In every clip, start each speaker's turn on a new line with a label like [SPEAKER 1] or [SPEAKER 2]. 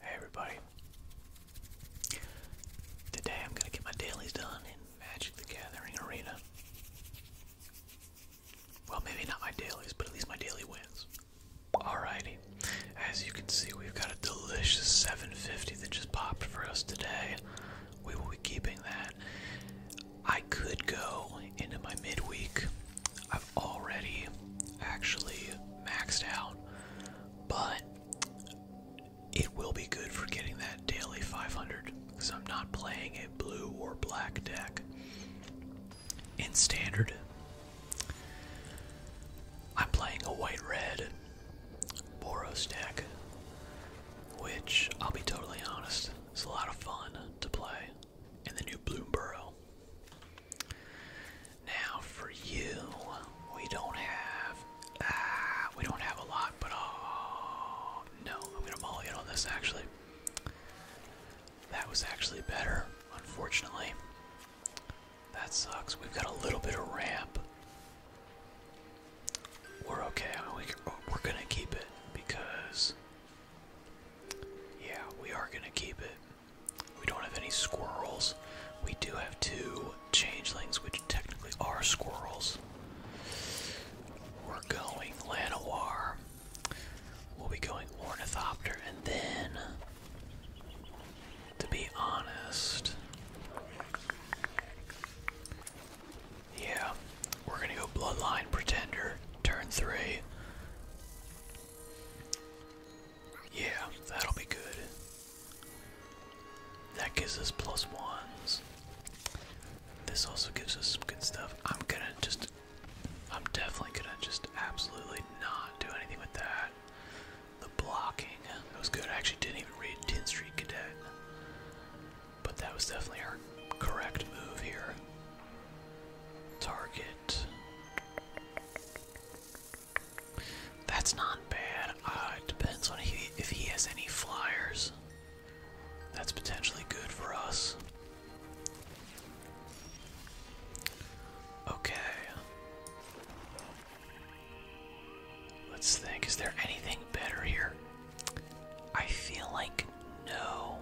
[SPEAKER 1] Hey everybody. Today I'm going to get my dailies done in Magic the Gathering Arena. Well, maybe not my dailies, but at least my daily wins. Alrighty. As you can see, we've got a delicious 750 that just popped for us today. We will be keeping that. I could go into my midweek. I've already actually maxed out but it will be good for getting that daily 500 because I'm not playing a blue or black deck. In standard, I'm playing a white red Boros deck, which I'll be totally honest, is a lot of fun to play in the new Bloomborough. Now for you, we don't have ah, we don't have a lot, but oh no, I'm gonna mulligan on this actually. That was actually better, unfortunately. That sucks. We've got a little bit of ramp. We're okay. Oh, we're gonna keep it because yeah, we are gonna keep it. We don't have any squirrels. We do have two changelings, which technically are squirrels. We're going Llanowar. We'll be going Ornithopter, and then, to be honest, yeah, we're gonna go Bloodline Pretender, turn three. Yeah, that'll be good. That gives us plus ones. This also gives us some good stuff. I'm gonna just. I'm definitely gonna just absolutely not do anything with that. The blocking. That was good. I actually didn't even read 10th Street Cadet. But that was definitely our correct move here. Target. That's not bad. Uh, it depends on if he has any flyers. That's potentially good for us. Okay. Let's think. Is there anything better here? I feel like no.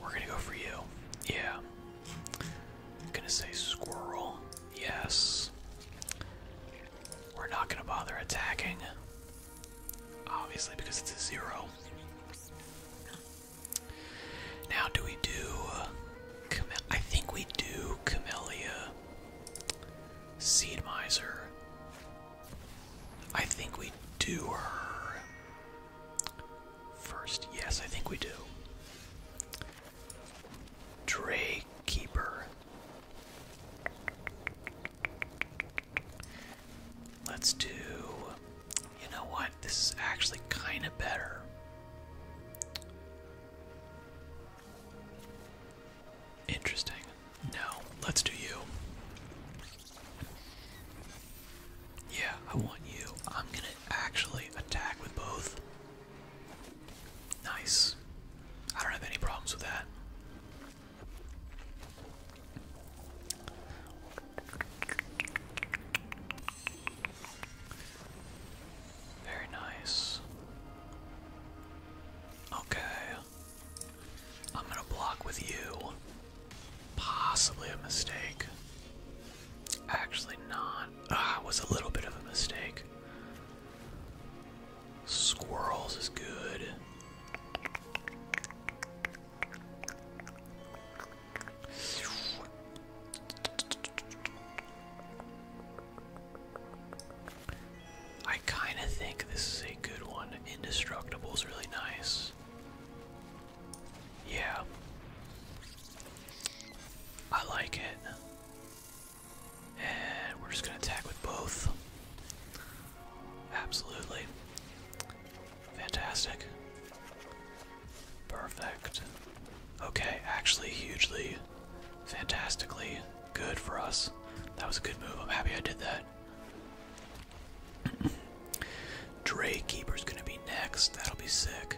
[SPEAKER 1] We're gonna go for you. Yeah. I'm gonna say squirrel. Yes. We're not gonna bother attacking. Obviously, because it's a zero. Now, do we do. Chame I think we do Camellia. Seed Miser. I think we do her. First, yes, I think we do. Dray Keeper. Let's do. You know what? This is actually kind of better. Interesting. No, let's do you. Yeah, I want you. I'm gonna actually attack with both. Nice. I don't have any problems with that. Very nice. Okay. I'm gonna block with you. Possibly a mistake. Actually, not. Ah, was a little bit of a mistake. Squirrels is good. I kind of think this is a good one. Indestructible is really nice. Yeah. I like it. And we're just gonna attack with both. Absolutely. Fantastic. Perfect. Okay, actually, hugely, fantastically good for us. That was a good move. I'm happy I did that that. Dray gonna be next. That'll be sick.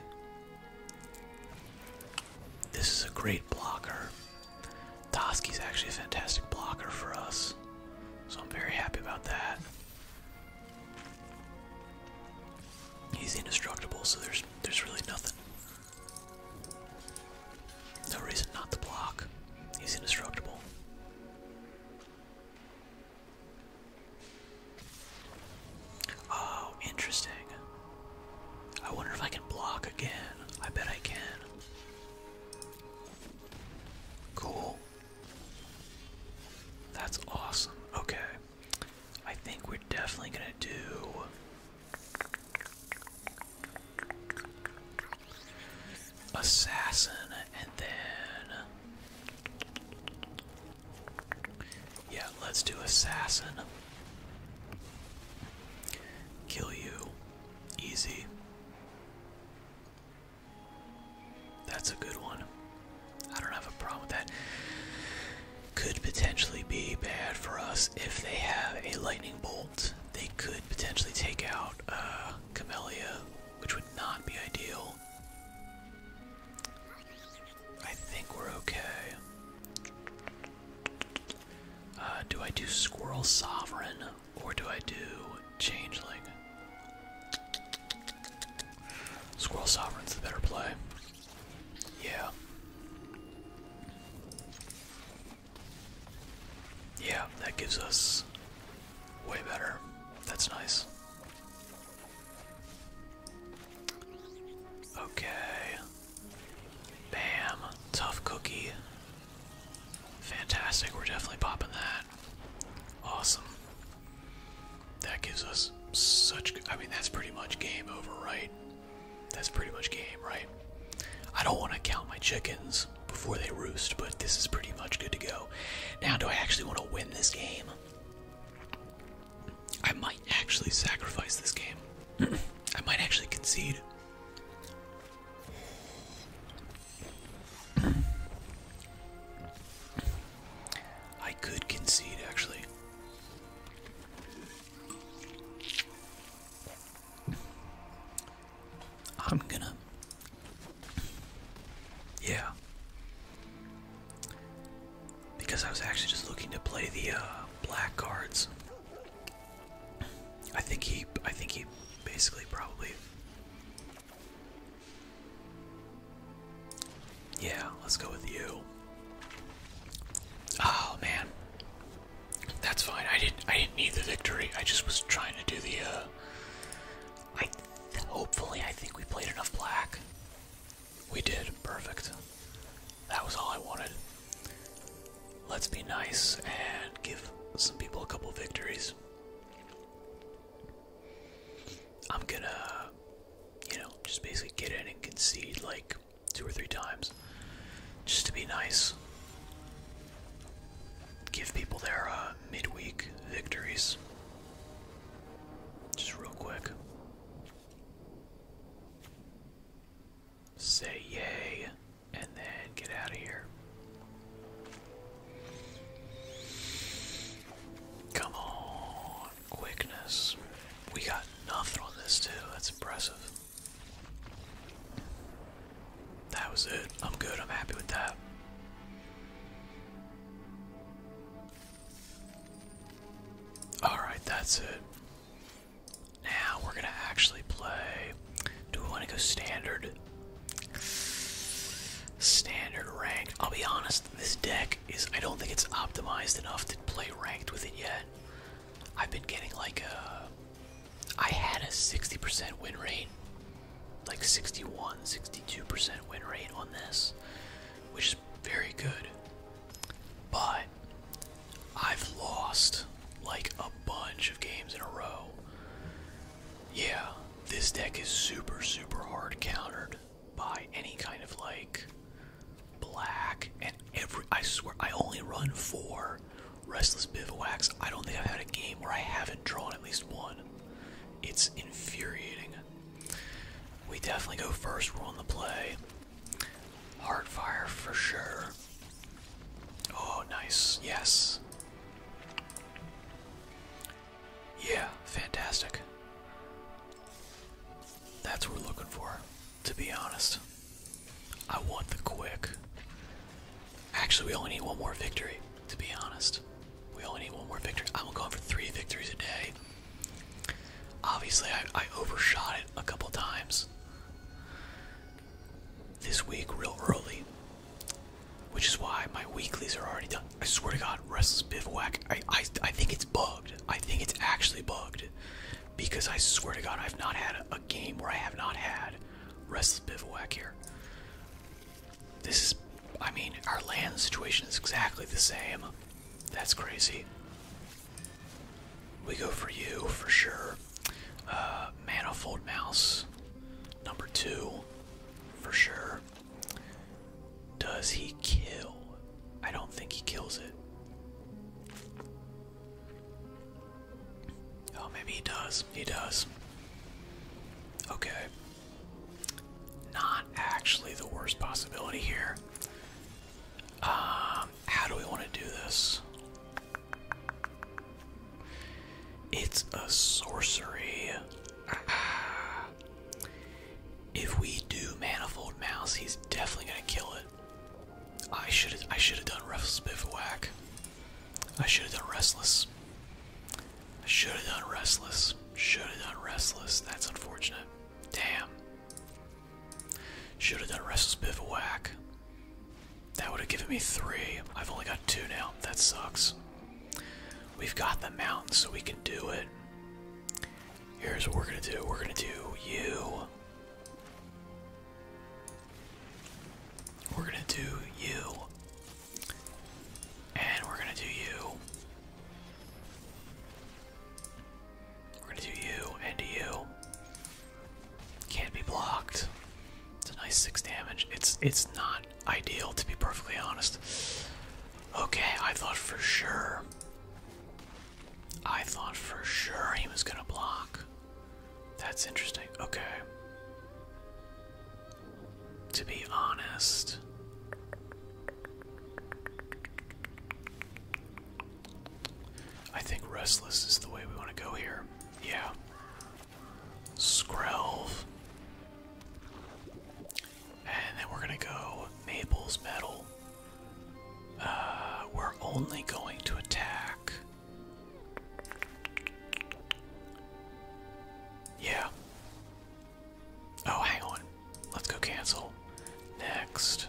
[SPEAKER 1] This is a great blocker. Toski's actually a fantastic blocker for us. So I'm very happy about that. He's indestructible, so there's there's really nothing. No reason not to block. He's indestructible. Oh, interesting. I wonder if I can block again. I bet I can. Cool. That's awesome. Okay. I think we're definitely gonna do assassin, and then yeah, let's do assassin. Kill you, easy. That's a good one. I don't have a problem with that. Could potentially be bad for us if they have a lightning bolt. They could potentially take out uh, Camellia, which would not be ideal. I think we're okay. Uh, do I do Squirrel Sovereign or do I do Changeling? Squirrel Sovereign's the better play. Yeah. Yeah, that gives us Way better. That's nice. Okay. Bam. Tough cookie. Fantastic. We're definitely popping that. Awesome. That gives us such. I mean, that's pretty much game over, right? That's pretty much game, right? I don't want to count my chickens before they roost, but this is pretty much good to go. Now, do I actually want to win this game? I might actually sacrifice this game. I might actually concede. I could concede, actually. I'm gonna yeah. Because I was actually just looking to play the uh, black cards. I think he, I think he basically probably. Yeah, let's go with you. Oh man, that's fine. I didn't, I didn't need the victory. I just was trying to do the, uh, I hopefully I think we played enough black. We did perfect. That was all I wanted. Let's be nice and give some people a couple victories. I'm gonna, you know, just basically get in and concede like two or three times just to be nice. Give people their uh, midweek victories. Just real quick. Say yay, and then get out of here. Come on, quickness. We got nothing on this, too. That's impressive. That was it. I'm good. I'm happy with that. Alright, that's it. Now we're gonna actually play. Do we wanna go standard? Standard ranked. I'll be honest, this deck is I don't think it's optimized enough to play ranked with it yet. I've been getting like a I had a 60% win rate like 61, 62% win rate on this, which is very good. But I've lost like a bunch of games in a row. Yeah, this deck is super, super hard countered by any kind of like black and every I swear I only run four restless bivouacs. I don't think I've had a game where I haven't drawn at least one. It's infuriating. We definitely go first rule on the play. Hardfire for sure. Oh, nice. Yes. Yeah, fantastic. That's what we're looking for, to be honest. I want the quick. Actually, we only need one more victory to be honest. We only need one more victory. I'm going for three victories a day. Obviously, I, overshot it a couple times this week real early, which is why my weeklies are already done. I swear to God, Restless Bivouac, I, I, think it's bugged. I think it's actually bugged because I swear to God, I've not had a, a game where I have not had Restless Bivouac here. This is, I mean, our land situation is exactly the same. That's crazy. We go for you for sure. Uh, Manifold Mouse, number two, for sure. Does he kill? I don't think he kills it. Oh, maybe he does. He does. Okay. Not actually the worst possibility here. Um, how do we want to do this? It's a sorcery. If we do Manifold Mouse, he's definitely gonna kill it. I should I should have done Restless Bivouac. I should have done Restless should have done Restless. Should have done Restless. That's unfortunate. Damn. Should have done Restless Bivouac. That would have given me three. I've only got two now. That sucks. We've got the mountain, so we can do it. Here's what we're gonna do. We're gonna do you. We're gonna do you. And we're gonna do you. We're gonna do you and you. Can't be blocked. It's a nice six damage. It's it's not ideal to be perfectly honest. Okay, I thought for sure. I thought for sure he was gonna block. That's interesting. Okay to be honest. I think Restless is the way we want to go here. Yeah. Skrelv. And then we're going to go Mabel's Metal. Uh, we're only going to attack. Yeah. Oh, hang on. Let's go cancel. Next.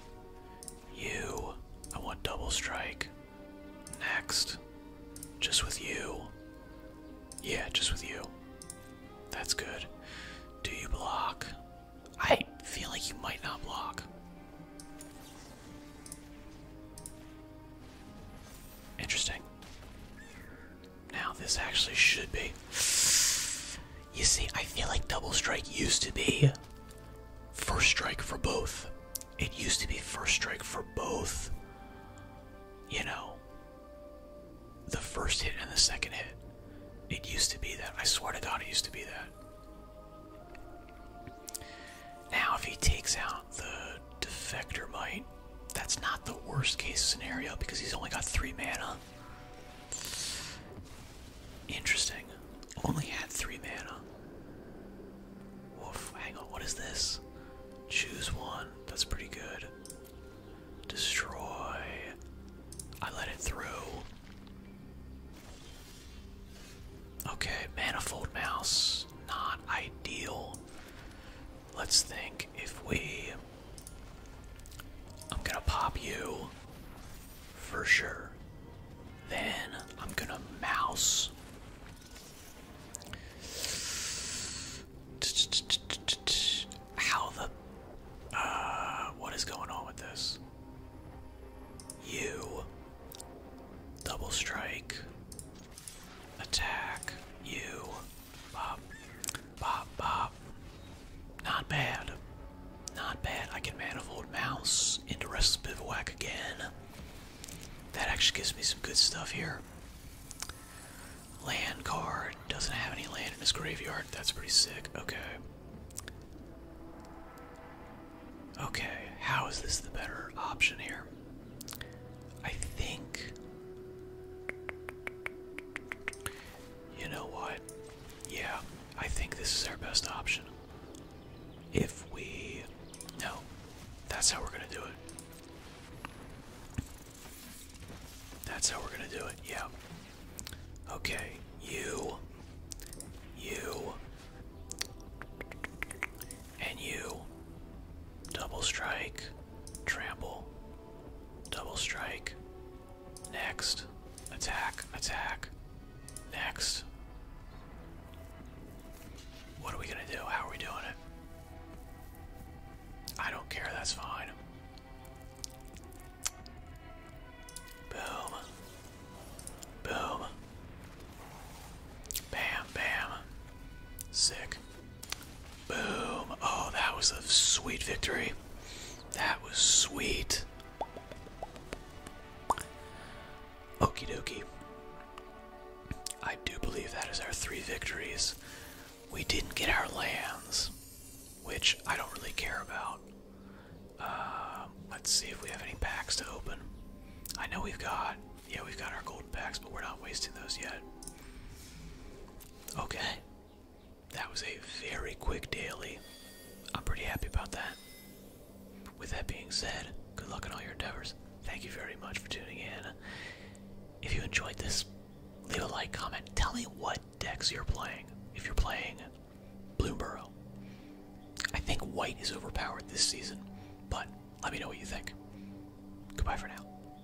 [SPEAKER 1] You. I want double strike. Next. Just with you. Yeah, just with you. That's good. Do you block? I feel like you might not block. Interesting. Now this actually should be. You see, I feel like double strike used to be first strike for both. It used to be first strike for both. You know, the first hit and the second hit. It used to be that. I swear to God, it used to be that. Now, if he takes out the defector might. That's not the worst case scenario because he's only got three mana. Interesting. Only had three mana. Woof, hang on, what is this? Choose one. That's pretty good. Destroy. I let it through. Okay, manifold mouse. Not ideal. Let's think if we. I'm gonna pop you for sure. Then I'm gonna mouse. How the. Uh, what is going on with this? You. Double strike. Attack you. Bop. Bop, bop. Not bad. Not bad. I can manifold mouse into restless bivouac again. That actually gives me some good stuff here. Land card. Doesn't have any land in his graveyard. That's pretty sick. Okay. Okay, how is this the better option here? I think. You know what? Yeah, I think this is our best option. If we. No, that's how we're gonna do it. That's how we're gonna do it, yeah. Okay, you. You. And you. Double strike. Trample. Double strike. Next. Attack, attack. Next. What are we gonna do? How are we doing it? I don't care, that's fine. Boom. Boom. Bam, bam. Sick. Boom. Oh, that was a sweet victory. That was sweet. Okey dokey. I do believe that is our three victories. We didn't get our lands, which I don't really care about. Um, let's see if we have any packs to open. I know we've got, yeah, we've got our gold packs, but we're not wasting those yet. Okay. That was a very quick daily. I'm pretty happy about that. With that being said, good luck in all your endeavors. Thank you very much for tuning in. If you enjoyed this, leave a like, comment. Tell me what decks you're playing. If you're playing Bloomborough, I think white is overpowered this season, but let me know what you think. Goodbye for now.